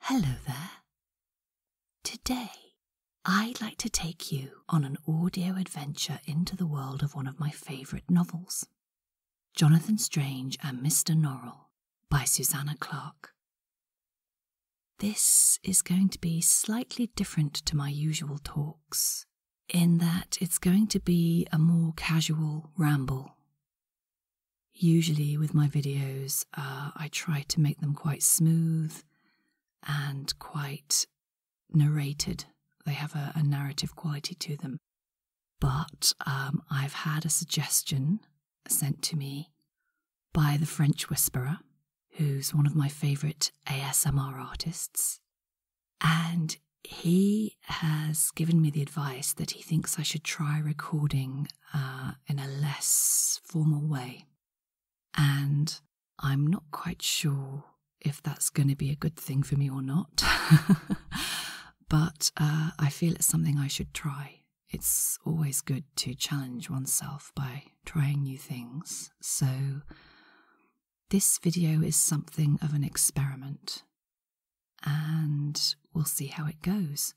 Hello there. Today, I'd like to take you on an audio adventure into the world of one of my favourite novels Jonathan Strange and Mr. Norrell by Susanna Clarke. This is going to be slightly different to my usual talks, in that it's going to be a more casual ramble Usually, with my videos, uh, I try to make them quite smooth and quite narrated. They have a, narrative quality to them. But um, I've had a suggestion sent to me by the French Whisperer, who's one of my favourite ASMR artists. And he has given me the advice that he thinks I should try recording uh, in a less formal way. And I'm not quite sure if that's going to be a good thing for me or not. but uh, I feel it's something I should try. It's always good to challenge oneself by trying new things. So, this video is something of an experiment and we'll see how it goes.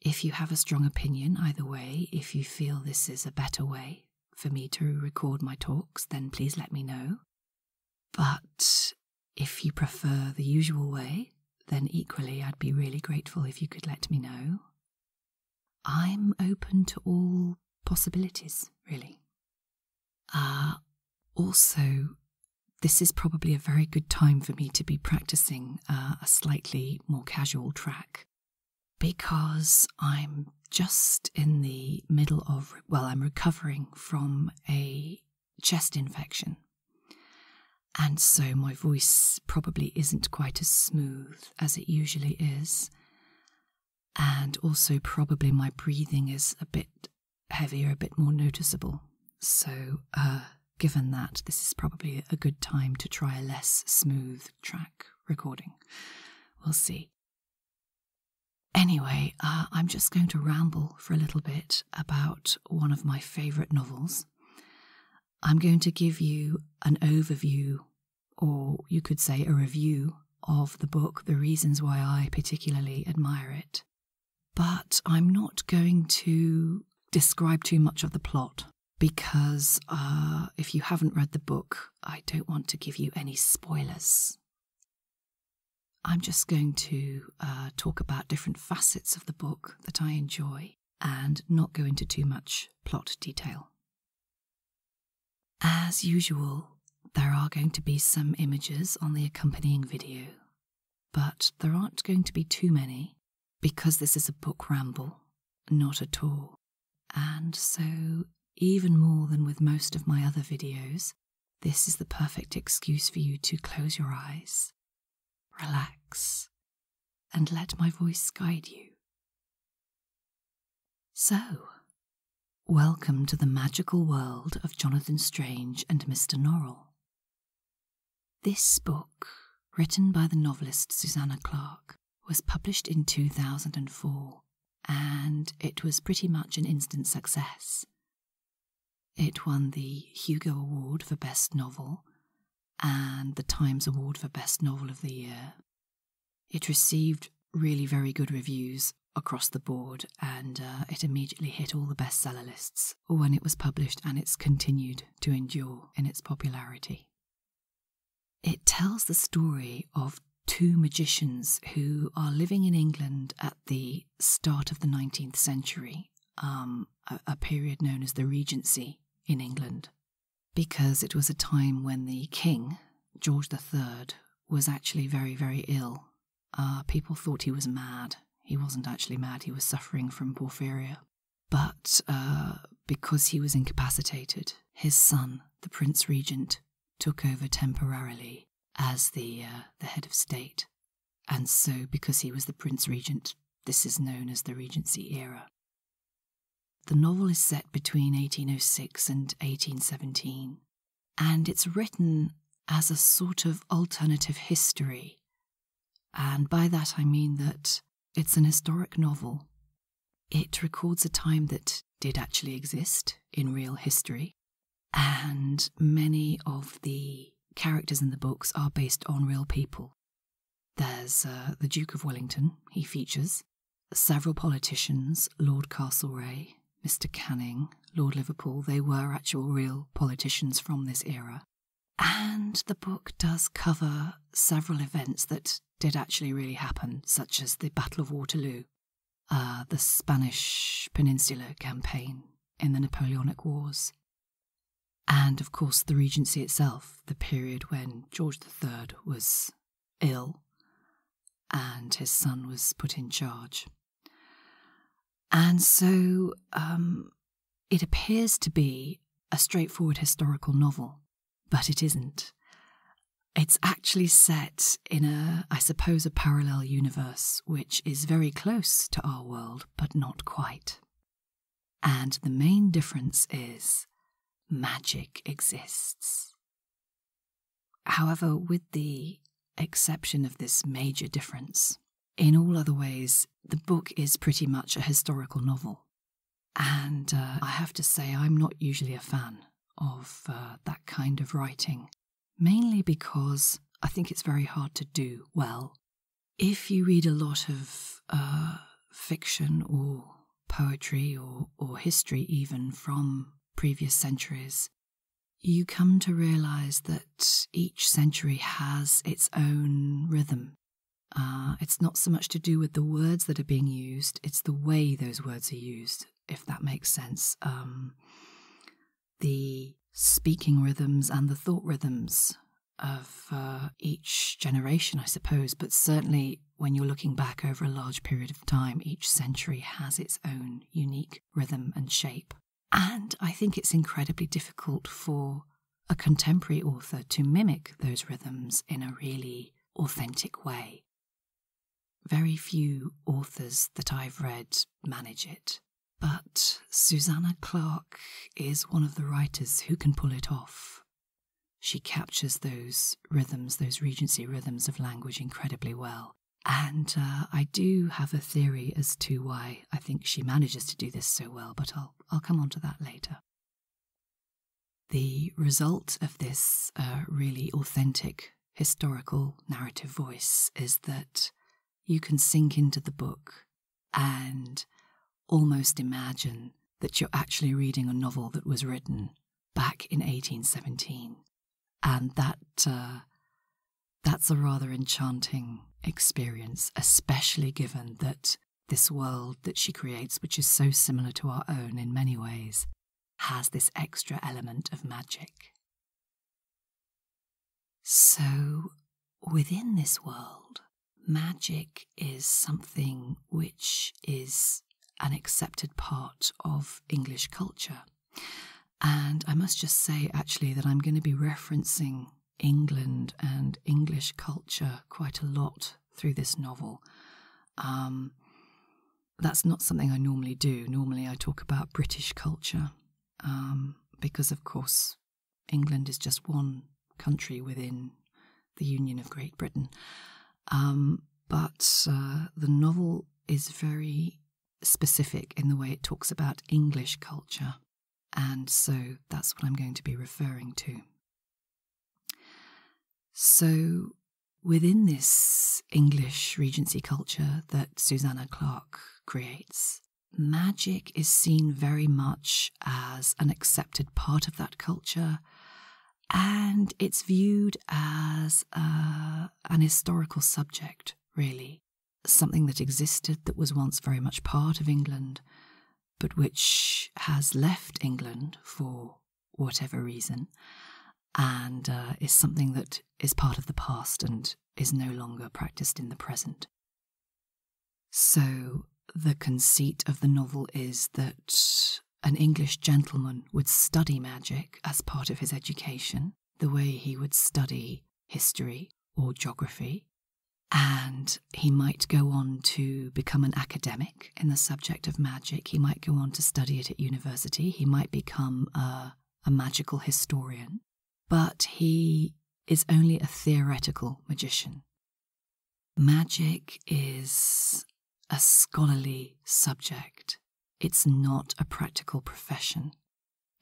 If you have a strong opinion, either way, if you feel this is a better way for me to record my talks, then please let me know. But if you prefer the usual way, then equally I'd be really grateful if you could let me know. I'm open to all possibilities, really. Uh, also, this is probably a very good time for me to be practicing uh, a slightly more casual track because I'm just in the middle of, well, I'm recovering from a chest infection. And so my voice probably isn't quite as smooth as it usually is. And also, probably my breathing is a bit heavier, a bit more noticeable. So, uh, given that, this is probably a good time to try a less smooth track recording. We'll see. Anyway, uh, I'm just going to ramble for a little bit about one of my favourite novels. I'm going to give you an overview, or you could say a review, of the book, the reasons why I particularly admire it. But I'm not going to describe too much of the plot because uh, if you haven't read the book, I don't want to give you any spoilers. I'm just going to uh, talk about different facets of the book that I enjoy and not go into too much plot detail. As usual, there are going to be some images on the accompanying video, but there aren't going to be too many, because this is a book ramble, not at all. And so, even more than with most of my other videos, this is the perfect excuse for you to close your eyes, relax, and let my voice guide you. So, welcome to the magical world of Jonathan Strange and Mr. Norrell, this book, written by the novelist Susanna Clarke, was published in 2004 and it was pretty much an instant success. It won the Hugo Award for Best Novel and the Times Award for Best Novel of the Year. It received really very good reviews across the board and uh, it immediately hit all the bestseller lists when it was published, and it's continued to endure in its popularity. It tells the story of two magicians who are living in England at the start of the 19th century, um, a, a period known as the Regency in England, because it was a time when the king, George III, was actually very, very ill uh, people thought he was mad. He wasn't actually mad, he was suffering from porphyria. But uh, because he was incapacitated, his son, the Prince Regent, took over temporarily as the, uh, the head of state. And so, because he was the Prince Regent, this is known as the Regency era. The novel is set between 1806 and 1817, and it's written as a sort of alternative history. And by that I mean that it's an historic novel. It records a time that did actually exist in real history, and many of the characters in the books are based on real people. There's uh, the Duke of Wellington, he features, several politicians, Lord Castlereagh, Mr. Canning, Lord Liverpool, they were actual real politicians from this era. And the book does cover several events that did actually really happen, such as the Battle of Waterloo, uh, the Spanish Peninsular campaign in the Napoleonic Wars, and of course the Regency itself, the period when George III was ill and his son was put in charge. And so um, it appears to be a straightforward historical novel, but it isn't. It's actually set in a, I suppose, a parallel universe which is very close to our world, but not quite. And the main difference is magic exists. However, with the exception of this major difference, in all other ways, the book is pretty much a historical novel. And uh, I have to say, I'm not usually a fan of uh, that kind of writing, mainly because I think it's very hard to do well. If you read a lot of uh, fiction or poetry or history, even from previous centuries, you come to realize that each century has its own rhythm. Uh, it's not so much to do with the words that are being used, it's the way those words are used, if that makes sense. Um, the speaking rhythms and the thought rhythms of uh, each generation, I suppose, but certainly when you're looking back over a large period of time, each century has its own unique rhythm and shape. And I think it's incredibly difficult for a contemporary author to mimic those rhythms in a really authentic way. Very few authors that I've read manage it, but Susanna Clarke is one of the writers who can pull it off. She captures those rhythms, those Regency rhythms of language incredibly well. And uh, I do have a theory as to why I think she manages to do this so well, but I'll, I'll come on to that later. The result of this uh, really authentic historical narrative voice is that you can sink into the book and almost imagine that you're actually reading a novel that was written back in 1817 and that uh, that's a rather enchanting experience, especially given that this world that she creates, which is so similar to our own in many ways, has this extra element of magic. So, within this world, magic is something which is an accepted part of English culture. And I must just say, actually, that I'm going to be referencing England and English culture quite a lot through this novel. Um, that's not something I normally do. Normally, I talk about British culture um, because, of course, England is just one country within the Union of Great Britain. Um, but uh, the novel is very specific in the way it talks about English culture, and so that's what I'm going to be referring to. So, within this English Regency culture that Susanna Clark creates, magic is seen very much as an accepted part of that culture, and it's viewed as a, uh, an historical subject, really something that existed that was once very much part of England, but which has left England for whatever reason, and uh, is something that is part of the past and is no longer practiced in the present. So, the conceit of the novel is that an English gentleman would study magic as part of his education, the way he would study history, or geography. And he might go on to become an academic in the subject of magic. He might go on to study it at university. He might become a, a magical historian. But he is only a theoretical magician. Magic is a scholarly subject, it's not a practical profession.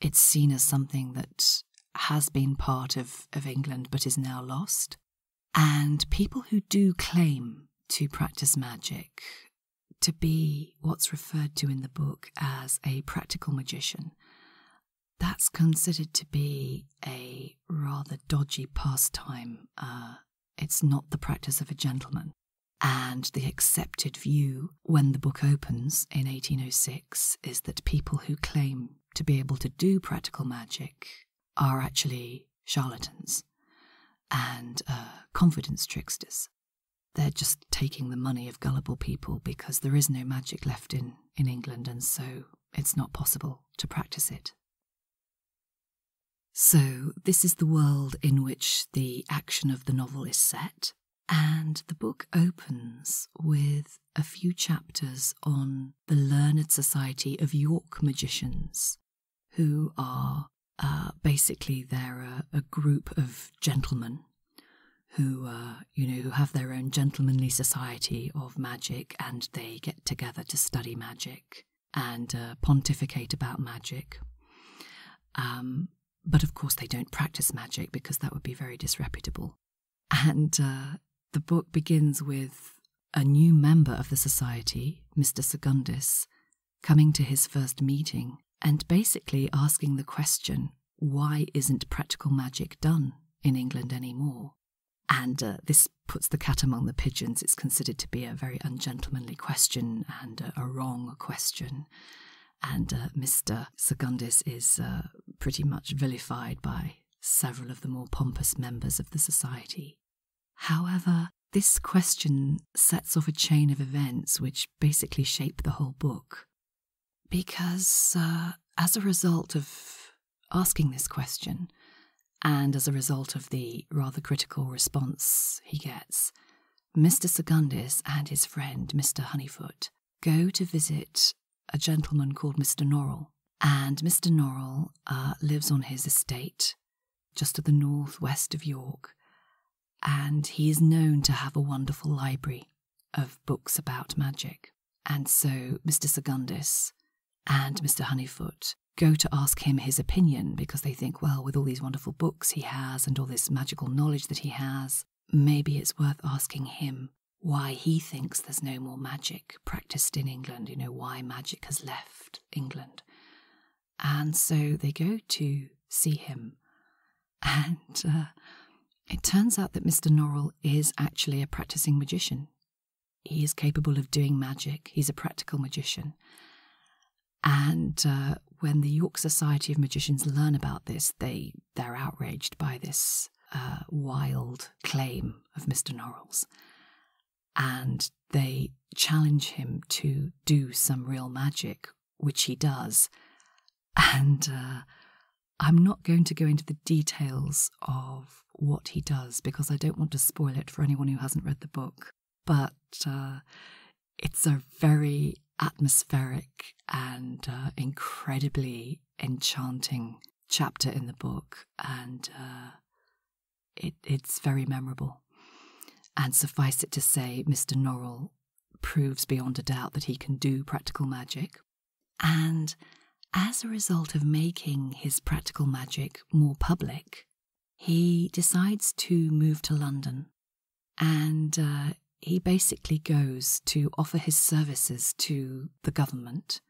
It's seen as something that has been part of, of England but is now lost. And people who do claim to practice magic to be what's referred to in the book as a practical magician. That's considered to be a rather dodgy pastime. Uh, it's not the practice of a gentleman. And the accepted view when the book opens in 1806 is that people who claim to be able to do practical magic are actually charlatans and uh, confidence tricksters. They're just taking the money of gullible people because there is no magic left in, in England, and so it's not possible to practice it. So, this is the world in which the action of the novel is set. And the book opens with a few chapters on the Learned Society of York Magicians, who are uh, basically they're a, group of gentlemen who uh, you know who have their own gentlemanly society of magic, and they get together to study magic and uh, pontificate about magic. Um, but of course, they don't practice magic because that would be very disreputable. And uh, the book begins with a new member of the society, Mr. Secundus, coming to his first meeting and basically asking the question why isn't practical magic done in England anymore? And uh, this puts the cat among the pigeons. It's considered to be a very ungentlemanly question and a wrong question and uh, Mr. Secundus is uh, pretty much vilified by several of the more pompous members of the society. However, this question sets off a chain of events which basically shape the whole book. Because uh, as a result of asking this question, and as a result of the rather critical response he gets, Mr. Secundus and his friend, Mr. Honeyfoot, go to visit a gentleman called Mr. Norrell. And Mr. Norrell uh, lives on his estate just to the northwest of York. And he is known to have a wonderful library of books about magic. And so Mr. Secundus and Mr. Honeyfoot go to ask him his opinion because they think, well, with all these wonderful books he has and all this magical knowledge that he has, maybe it's worth asking him why he thinks there's no more magic practiced in England, you know, why magic has left England. And so they go to see him. And uh, it turns out that Mr. Norrell is actually a practicing magician. He is capable of doing magic, he's a practical magician. And uh, when the York Society of Magicians learn about this, they they're outraged by this uh, wild claim of Mr. Norrell's, and they challenge him to do some real magic, which he does. And uh, I'm not going to go into the details of what he does because I don't want to spoil it for anyone who hasn't read the book. But it's a very atmospheric and uh, incredibly enchanting chapter in the book, and uh, it's very memorable. And suffice it to say, Mr. Norrell proves beyond a doubt that he can do practical magic. And as a result of making his practical magic more public, he decides to move to London and uh, he basically goes to offer his services to the government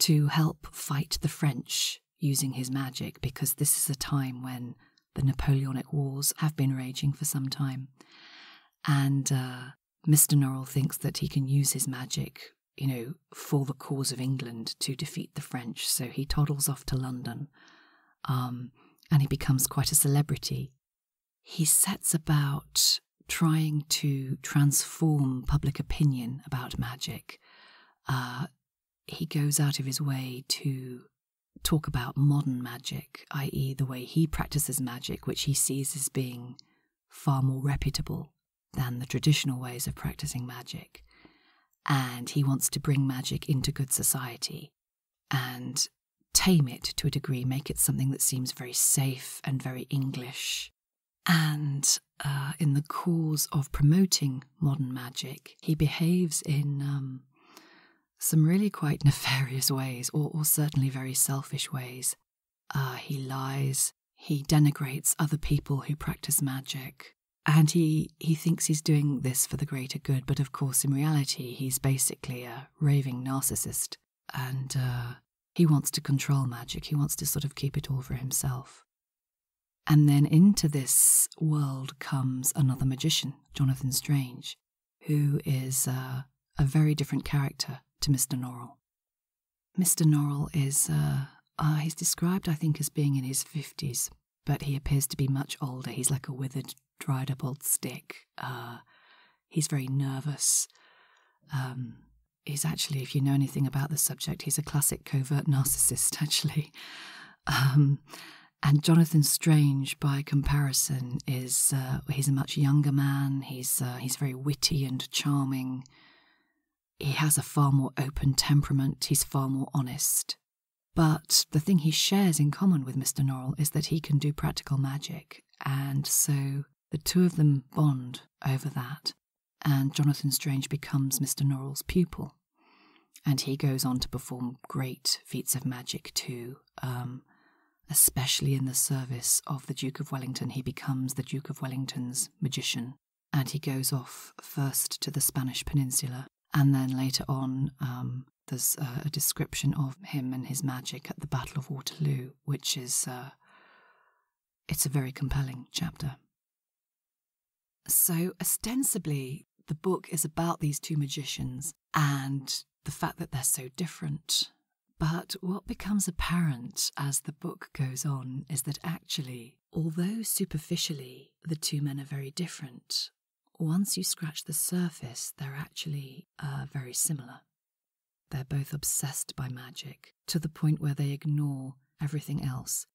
to help fight the French using his magic, because this is a time when the Napoleonic Wars have been raging for some time. And uh, Mr. Norrell thinks that he can use his magic, you know, for the cause of England to defeat the French, so he toddles off to London um, and he becomes quite a celebrity. He sets about trying to transform public opinion about magic. Uh, he goes out of his way to talk about modern magic, i.e., the way he practices magic, which he sees as being far more reputable than the traditional ways of practicing magic. And he wants to bring magic into good society and tame it to a degree, make it something that seems very safe and very English. And uh, in the cause of promoting modern magic, he behaves in um, some really quite nefarious ways, or, certainly very selfish ways. Ah, he lies, he denigrates other people who practice magic, and he he thinks he's doing this for the greater good, but of course in reality he's basically a raving narcissist, and uh, he wants to control magic. He wants to sort of keep it all for himself. And then into this world comes another magician, Jonathan Strange, who is uh, a very different character to Mr. Norrell. Mr. Norrell is uh, he's described, I think, as being in his fifties but he appears to be much older. He's like a withered, dried up old stick. Uh, he's very nervous. Um, he's actually, if you know anything about the subject, he's a classic covert narcissist, actually. Um, and Jonathan Strange, by comparison, is uh, he's a much younger man. He's uh, he's very witty and charming. He has a far more open temperament. He's far more honest. But the thing he shares in common with Mr. Norrell is that he can do practical magic, and so the two of them bond over that, and Jonathan Strange becomes Mr. Norrell's pupil. And he goes on to perform great feats of magic too, um, especially in the service of the Duke of Wellington. He becomes the Duke of Wellington's magician, and he goes off first to the Spanish Peninsula and then later on, um, there's a description of him and his magic at the Battle of Waterloo, which is uh, it's a very compelling chapter. So ostensibly, the book is about these two magicians and the fact that they're so different. But what becomes apparent as the book goes on is that actually, although superficially the two men are very different, once you scratch the surface, they're actually uh, very similar. They're both obsessed by magic to the point where they ignore everything else.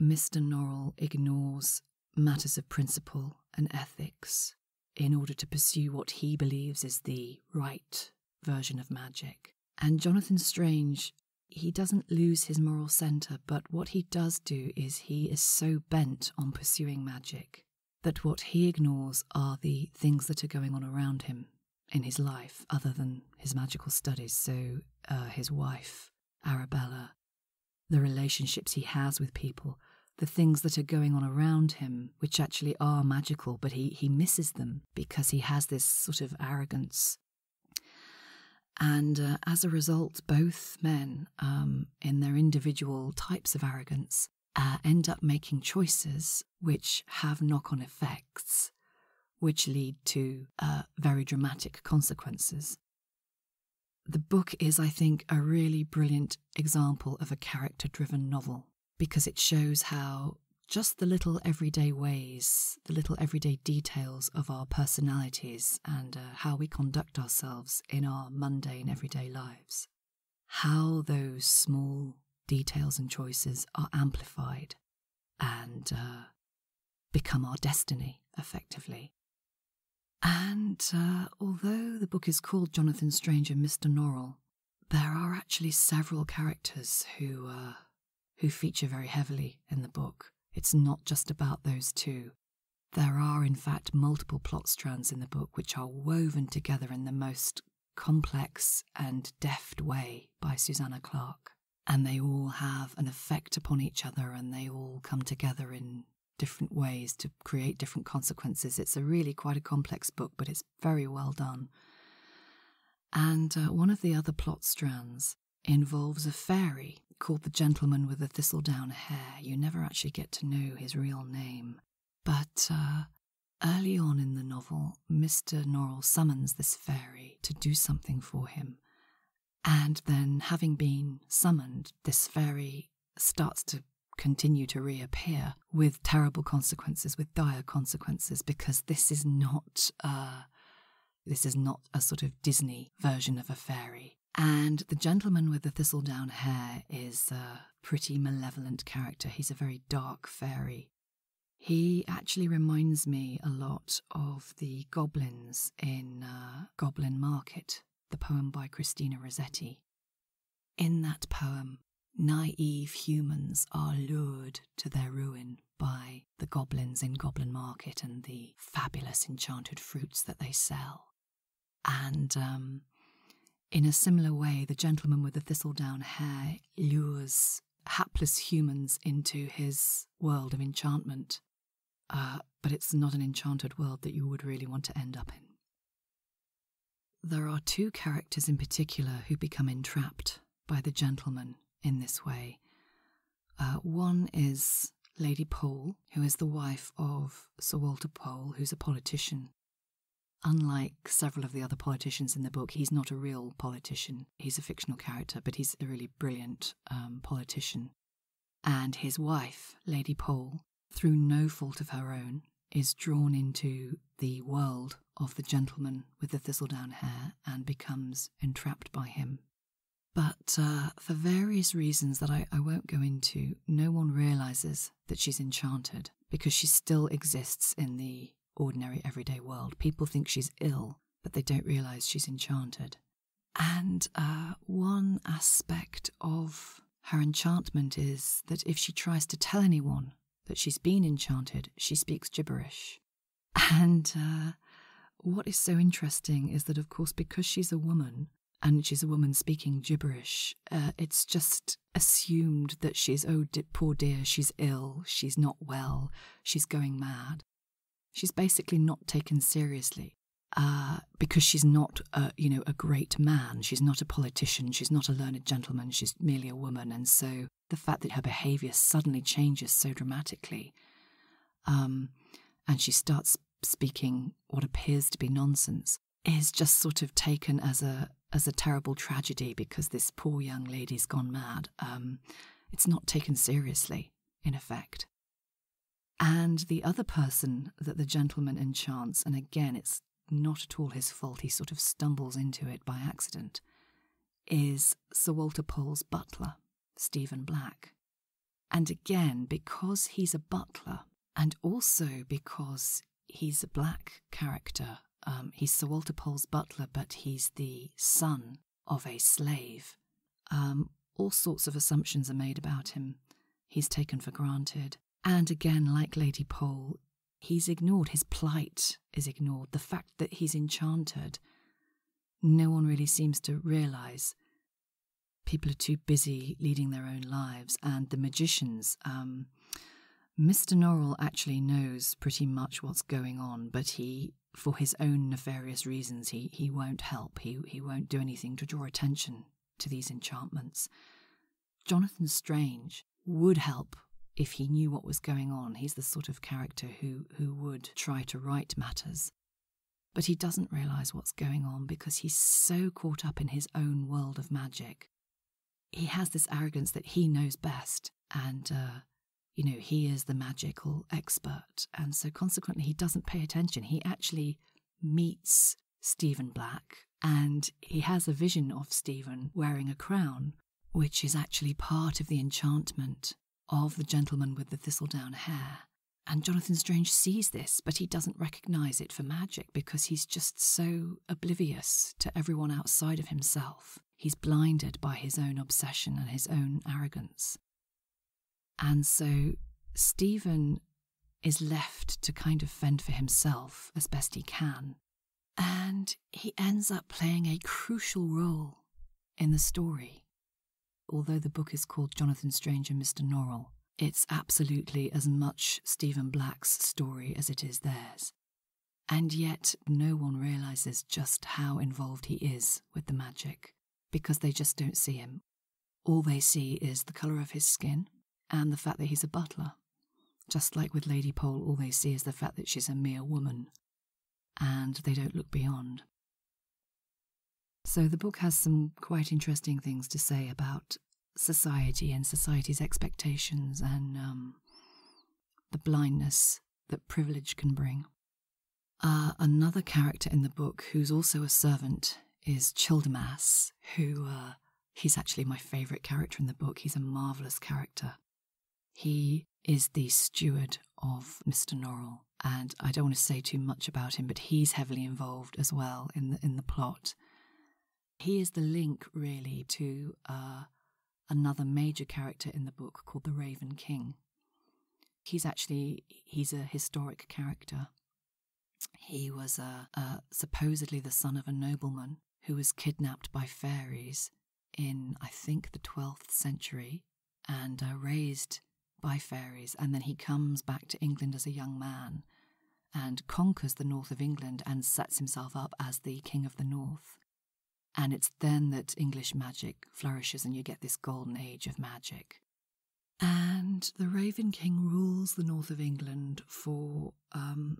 Mr. Norrell ignores matters of principle and ethics in order to pursue what he believes is the right version of magic. And Jonathan Strange, he doesn't lose his moral centre, but what he does do is he is so bent on pursuing magic that what he ignores are the things that are going on around him in his life, other than his magical studies. So, uh, his wife, Arabella, the relationships he has with people, the things that are going on around him, which actually are magical, but he, he misses them because he has this sort of arrogance and uh, as a result, both men, um, in their individual types of arrogance, uh, end up making choices which have knock on effects, which lead to uh, very dramatic consequences. The book is, I think, a really brilliant example of a character driven novel because it shows how just the little everyday ways, the little everyday details of our personalities and how we conduct ourselves in our mundane everyday lives, how those small details and choices are amplified and uh, become our destiny effectively. And uh, although the book is called Jonathan Strange and Mr. Norrell, there are actually several characters who uh, who feature very heavily in the book. It's not just about those two. There are, in fact, multiple plot strands in the book which are woven together in the most complex and deft way by Susanna Clarke, and they all have an effect upon each other and they all come together in different ways to create different consequences. It's a really quite a complex book, but it's very well done. And uh, one of the other plot strands involves a fairy called the gentleman with the thistle down hair. You never actually get to know his real name. But uh, early on in the novel, Mr. Norrell summons this fairy to do something for him. And then, having been summoned, this fairy starts to continue to reappear with terrible consequences, with dire consequences, because this is not. Uh, this is not a sort of Disney version of a fairy. And the gentleman with the thistle down hair is a pretty malevolent character. He's a very dark fairy. He actually reminds me a lot of the goblins in uh, Goblin Market, the poem by Christina Rossetti. In that poem, naive humans are lured to their ruin by the goblins in Goblin Market and the fabulous enchanted fruits that they sell. And um, in a similar way, the gentleman with the thistledown hair lures hapless humans into his world of enchantment. Uh, but it's not an enchanted world that you would really want to end up in. There are two characters in particular who become entrapped by the gentleman in this way, uh, one is Lady Pole, who is the wife of Sir Walter Pole, who's a politician. Unlike several of the other politicians in the book, he's not a real politician. He's a fictional character, but he's a really brilliant um, politician. And his wife, Lady Pole, through no fault of her own, is drawn into the world of the gentleman with the thistledown hair and becomes entrapped by him. But uh, for various reasons that I, won't go into, no one realizes that she's enchanted because she still exists in the ordinary everyday world. People think she's ill, but they don't realize she's enchanted. And uh, one aspect of her enchantment is that if she tries to tell anyone that she's been enchanted, she speaks gibberish. And uh, what is so interesting is that, of course, because she's a woman and she's a woman speaking gibberish, uh, it's just assumed that she's, oh, poor dear, she's ill, she's not well, she's going mad. She's basically not taken seriously. Uh, because she's not, a, you know, a great man. She's not a politician. She's not a learned gentleman. She's merely a woman. And so the fact that her behaviour suddenly changes so dramatically um, and she starts speaking what appears to be nonsense, It is just sort of taken as a as a terrible tragedy because this poor young lady's gone mad. Um, it's not taken seriously, in effect. And the other person that the gentleman enchants, and again, it's not at all his fault, he sort of stumbles into it by accident, is Sir Walter Pole's butler, Stephen Black. And again, because he's a butler, and also because he's a black character, um, he's Sir Walter Pole's butler, but he's the son of a slave. Um, all sorts of assumptions are made about him. He's taken for granted. And again, like Lady Pole, he's ignored. His plight is ignored. The fact that he's enchanted, no one really seems to realise people are too busy leading their own lives, and the magicians. Um, Mr. Norrell actually knows pretty much what's going on, but he, for his own nefarious reasons, he, he won't help. He, he won't do anything to draw attention to these enchantments. Jonathan Strange would help if he knew what was going on. He's the sort of character who, who would try to right matters. But he doesn't realize what's going on because he's so caught up in his own world of magic. He has this arrogance that he knows best, and, uh, you know, he is the magical expert. And so, consequently, he doesn't pay attention. He actually meets Stephen Black, and he has a vision of Stephen wearing a crown, which is actually part of the enchantment of the gentleman with the thistledown hair. And Jonathan Strange sees this, but he doesn't recognize it for magic because he's just so oblivious to everyone outside of himself. He's blinded by his own obsession and his own arrogance. And so Stephen is left to kind of fend for himself as best he can. And he ends up playing a crucial role in the story. Although the book is called Jonathan Strange and Mr. Norrell, it's absolutely as much Stephen Black's story as it is theirs. And yet, no one realizes just how involved he is with the magic, because they just don't see him. All they see is the colour of his skin and the fact that he's a butler. Just like with Lady Pole, all they see is the fact that she's a mere woman, and they don't look beyond. So the book has some quite interesting things to say about society and society's expectations and um, the blindness that privilege can bring. Uh, another character in the book who's also a servant is Childermas, who uh, he's actually my favourite character in the book. He's a marvellous character. He is the steward of Mr. Norrell, and I don't want to say too much about him, but he's heavily involved as well in the in the plot. He is the link really to uh, another major character in the book called the Raven King. He's actually he's a historic character. He was a uh, uh, supposedly the son of a nobleman who was kidnapped by fairies in I think the 12th century and are raised by fairies, and then he comes back to England as a young man and conquers the north of England and sets himself up as the king of the north. And it's then that English magic flourishes, and you get this golden age of magic. And the Raven King rules the north of England for, um,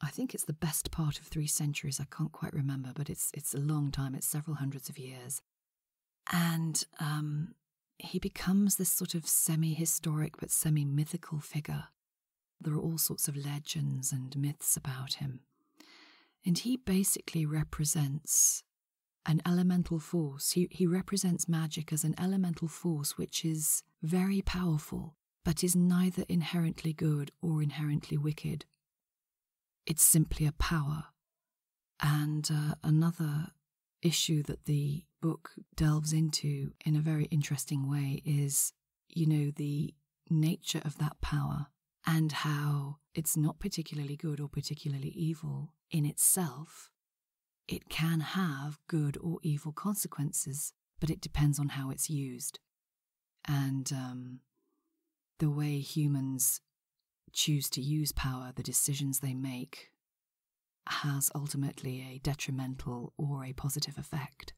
I think it's the best part of three centuries. I can't quite remember, but it's it's a long time. It's several hundreds of years, and um, he becomes this sort of semi historic but semi mythical figure. There are all sorts of legends and myths about him. And he basically represents an elemental force. he represents magic as an elemental force which is very powerful, but is neither inherently good or inherently wicked. It's simply a power. And uh, another issue that the book delves into in a very interesting way is, you know, the nature of that power and how it's not particularly good or particularly evil in itself. It can have good or evil consequences, but it depends on how it's used. And um, the way humans choose to use power, the decisions they make, has ultimately a detrimental or a positive effect.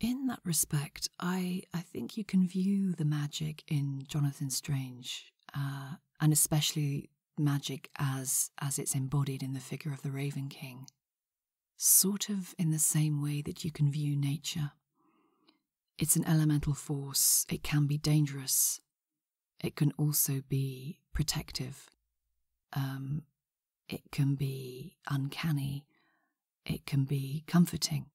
In that respect, I, I think you can view the magic in Jonathan Strange, uh, and especially magic as, as it's embodied in the figure of the Raven King, sort of in the same way that you can view nature. It's an elemental force, it can be dangerous, it can also be protective, um, it can be uncanny, it can be comforting.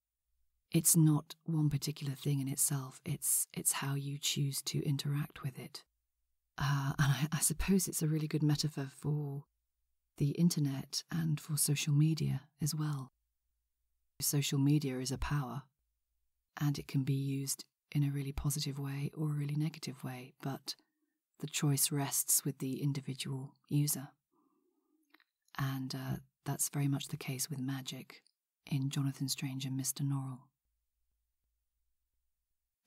It's not one particular thing in itself, it's, it's how you choose to interact with it. Uh, and I suppose it's a really good metaphor for the internet and for social media as well. Social media is a power, and it can be used in a really positive way or a really negative way, but the choice rests with the individual user. And uh, that's very much the case with magic in Jonathan Strange and Mr. Norrell.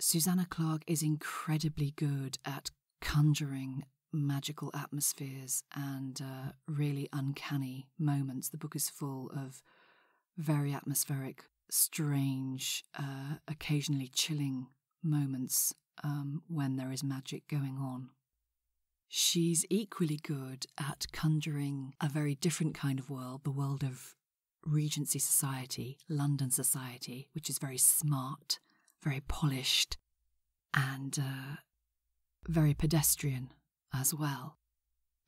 Susanna Clark is incredibly good at conjuring magical atmospheres and uh, really uncanny moments. The book is full of very atmospheric, strange, uh, occasionally chilling moments um, when there is magic going on. She's equally good at conjuring a very different kind of world, the world of Regency society, London society, which is very smart, very polished, and uh, very pedestrian as well.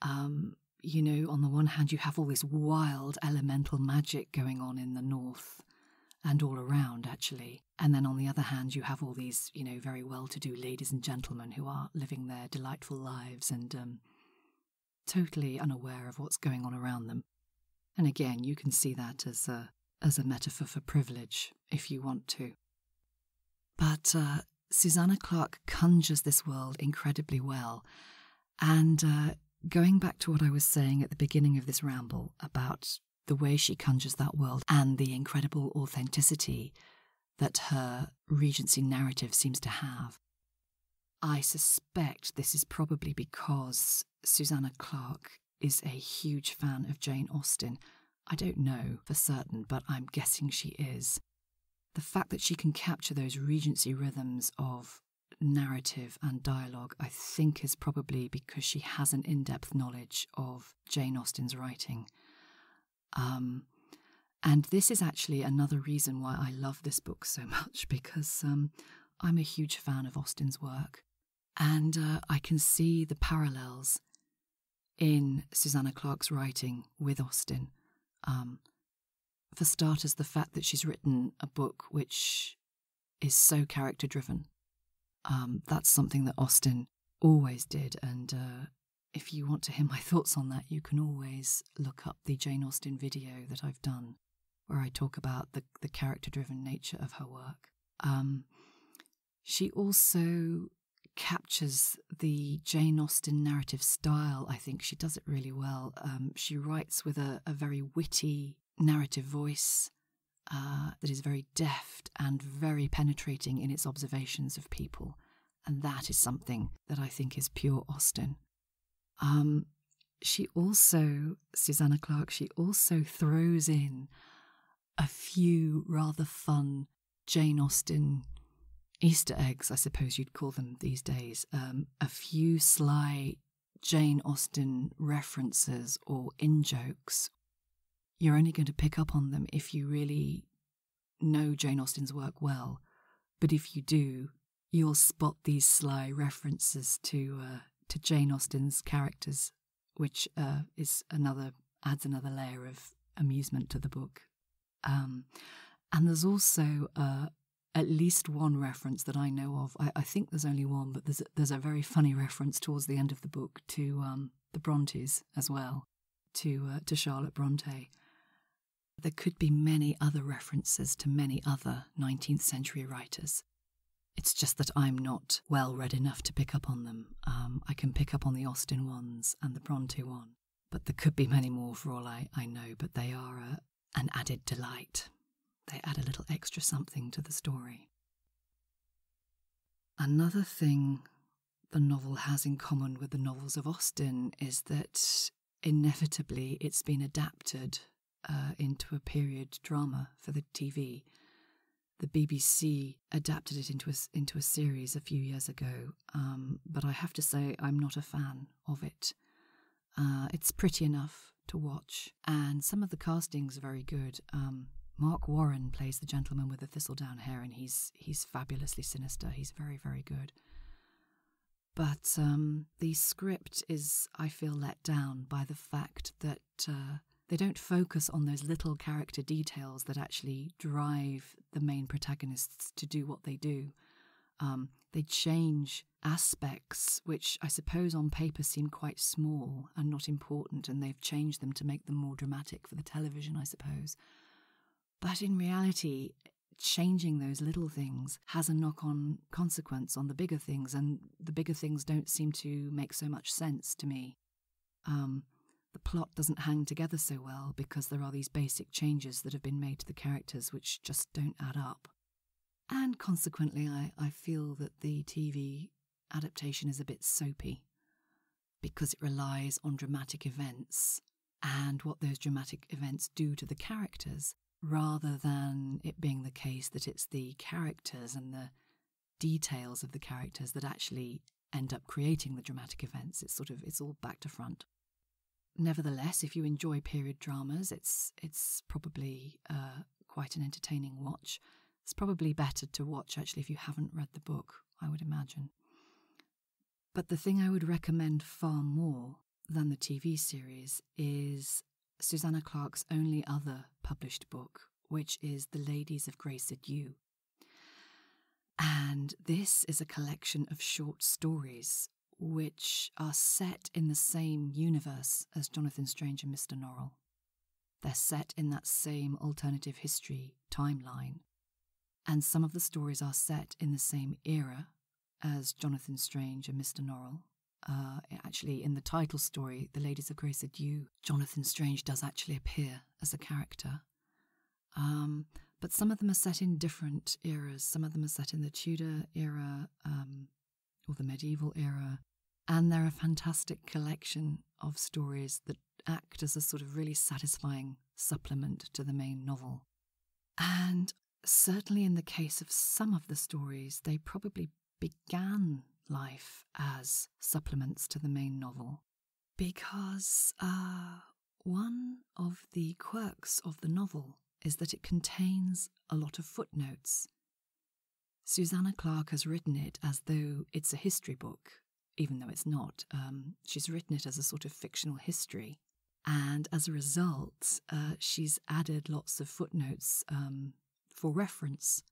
Um, you know, on the one hand, you have all this wild elemental magic going on in the north and all around, actually. And then on the other hand, you have all these, you know, very well to do ladies and gentlemen who are living their delightful lives and um, totally unaware of what's going on around them. And again, you can see that as a, as a metaphor for privilege if you want to. But uh, Susanna Clark conjures this world incredibly well. And uh, going back to what I was saying at the beginning of this ramble about the way she conjures that world and the incredible authenticity that her Regency narrative seems to have. I suspect this is probably because Susanna Clark is a huge fan of Jane Austen I don't know for certain, but I'm guessing she is. The fact that she can capture those Regency rhythms of narrative and dialogue, I think, is probably because she has an in depth knowledge of Jane Austen's writing. Um, and this is actually another reason why I love this book so much because um, I'm a huge fan of Austen's work. And uh, I can see the parallels in Susanna Clark's writing with Austin. Um, for starters, the fact that she's written a book which is so character driven. Um, that's something that Austin always did. And uh, if you want to hear my thoughts on that, you can always look up the Jane Austen video that I've done where I talk about the, character driven nature of her work. Um, she also captures the Jane Austen narrative style. I think she does it really well. Um, she writes with a, very witty narrative voice uh, that is very deft and very penetrating in its observations of people. And that is something that I think is pure Austen. Um, she also, Susanna Clark, she also throws in a few rather fun Jane Austen Easter eggs, I suppose you'd call them these days, um, a few sly Jane Austen references or in jokes. You're only going to pick up on them if you really know Jane Austen's work well. But if you do, you'll spot these sly references to uh, to Jane Austen's characters which uh, is another adds another layer of amusement to the book. Um, and there's also uh, at least one reference that I know of. I, think there's only one, but there's a, there's a very funny reference towards the end of the book to um, the Brontes as well, to uh, to Charlotte Bronte. There could be many other references to many other 19th century writers. It's just that I'm not well read enough to pick up on them. Um, I can pick up on the Austin ones and the Bronte one, but there could be many more for all I, know, but they are uh, an added delight. They add a little extra something to the story. Another thing the novel has in common with the novels of Austin is that inevitably it's been adapted uh, into a period drama for the TV the BBC adapted it into a, into a series a few years ago, um, but I have to say I'm not a fan of it. Uh, it's pretty enough to watch, and some of the castings are very good. Um, Mark Warren plays the gentleman with the thistledown hair, and he's he's fabulously sinister. He's very very good. But um, the script is, I feel, let down by the fact that uh, they don't focus on those little character details that actually drive the main protagonists to do what they do. Um, they change aspects which I suppose on paper seem quite small and not important, and they've changed them to make them more dramatic for the television, I suppose. But in reality, changing those little things has a knock on consequence on the bigger things, and the bigger things don't seem to make so much sense to me. Um, the plot doesn't hang together so well because there are these basic changes that have been made to the characters which just don't add up. And consequently, I, I feel that the TV adaptation is a bit soapy because it relies on dramatic events and what those dramatic events do to the characters rather than it being the case that it's the characters and the details of the characters that actually end up creating the dramatic events. It's sort of it's all back to front. Nevertheless, if you enjoy period dramas, it's it's probably uh, quite an entertaining watch. It's probably better to watch actually if you haven't read the book, I would imagine. But the thing I would recommend far more than the TV series is Susanna Clarke's only other published book, which is The Ladies of Grace at You, and this is a collection of short stories which are set in the same universe as Jonathan Strange and Mr. Norrell. They're set in that same alternative history timeline. And some of the stories are set in the same era as Jonathan Strange and Mr. Norrell. Uh, actually, in the title story, The Ladies of Grace Adieu Jonathan Strange does actually appear as a character. Um, but some of them are set in different eras. Some of them are set in the Tudor era um, or the medieval era. And they're a fantastic collection of stories that act as a sort of really satisfying supplement to the main novel. And certainly in the case of some of the stories, they probably began life as supplements to the main novel because uh, one of the quirks of the novel is that it contains a lot of footnotes. Susanna Clark has written it as though it's a history book, even though it's not. Um, she's written it as a sort of fictional history. And as a result, uh, she's added lots of footnotes um, for reference.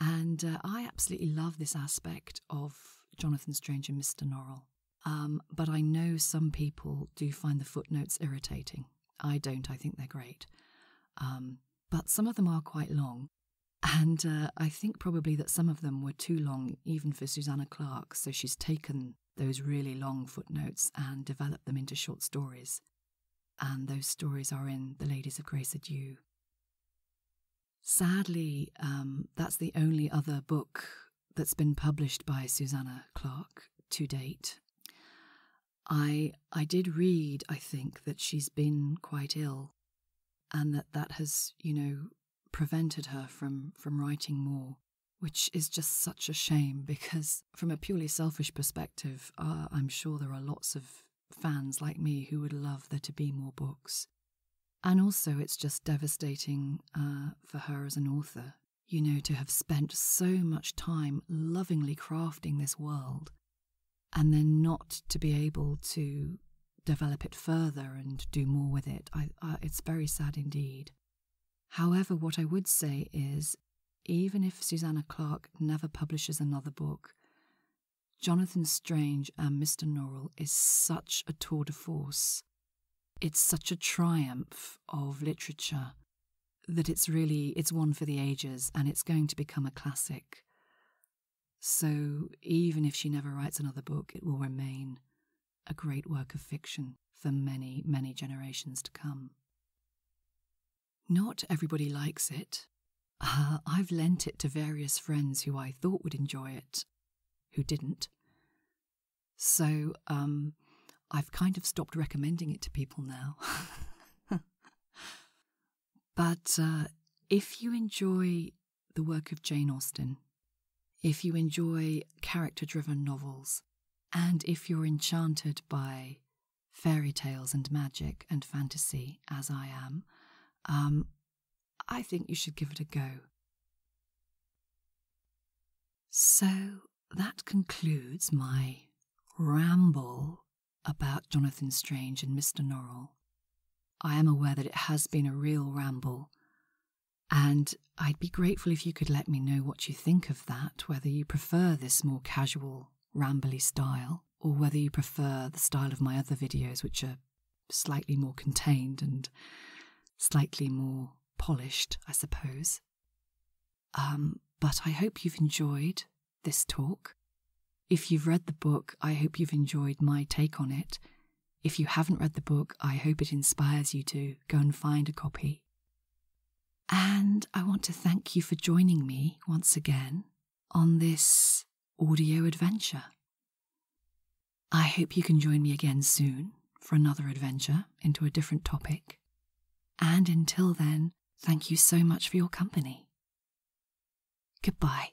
And uh, I absolutely love this aspect of Jonathan Strange and Mr. Norrell. Um, but I know some people do find the footnotes irritating. I don't, I think they're great. Um, but some of them are quite long. And uh, I think probably that some of them were too long, even for Susanna Clark, so she's taken those really long footnotes and developed them into short stories. And those stories are in The Ladies of Grace Adieu Sadly, um, that's the only other book that's been published by Susanna Clark to date. I I did read, I think, that she's been quite ill, and that that has, you know, prevented her from from writing more, which is just such a shame because, from a purely selfish perspective, uh, I'm sure there are lots of fans like me who would love there to be more books. And also, it's just devastating uh, for her as an author, you know, to have spent so much time lovingly crafting this world and then not to be able to develop it further and do more with it. it's very sad indeed. However, what I would say is even if Susanna Clarke never publishes another book, Jonathan Strange and Mr. Norrell is such a tour de force. It's such a triumph of literature that it's really it's one for the ages and it's going to become a classic. So even if she never writes another book, it will remain a great work of fiction for many, many generations to come. Not everybody likes it. Ah, I've lent it to various friends who I thought would enjoy it, who didn't. So um, I've kind of stopped recommending it to people now. but uh, if you enjoy the work of Jane Austen, if you enjoy character driven novels, and if you're enchanted by fairy tales and magic and fantasy as I am, um, I think you should give it a go. So that concludes my ramble about Jonathan Strange and Mr. Norrell. I am aware that it has been a real ramble, and I'd be grateful if you could let me know what you think of that, whether you prefer this more casual, rambly style, or whether you prefer the style of my other videos, which are slightly more contained and slightly more polished, I suppose. Um, but I hope you've enjoyed this talk. If you've read the book, I hope you've enjoyed my take on it. If you haven't read the book, I hope it inspires you to go and find a copy. And I want to thank you for joining me once again on this audio adventure. I hope you can join me again soon for another adventure into a different topic. And until then, thank you so much for your company. Goodbye.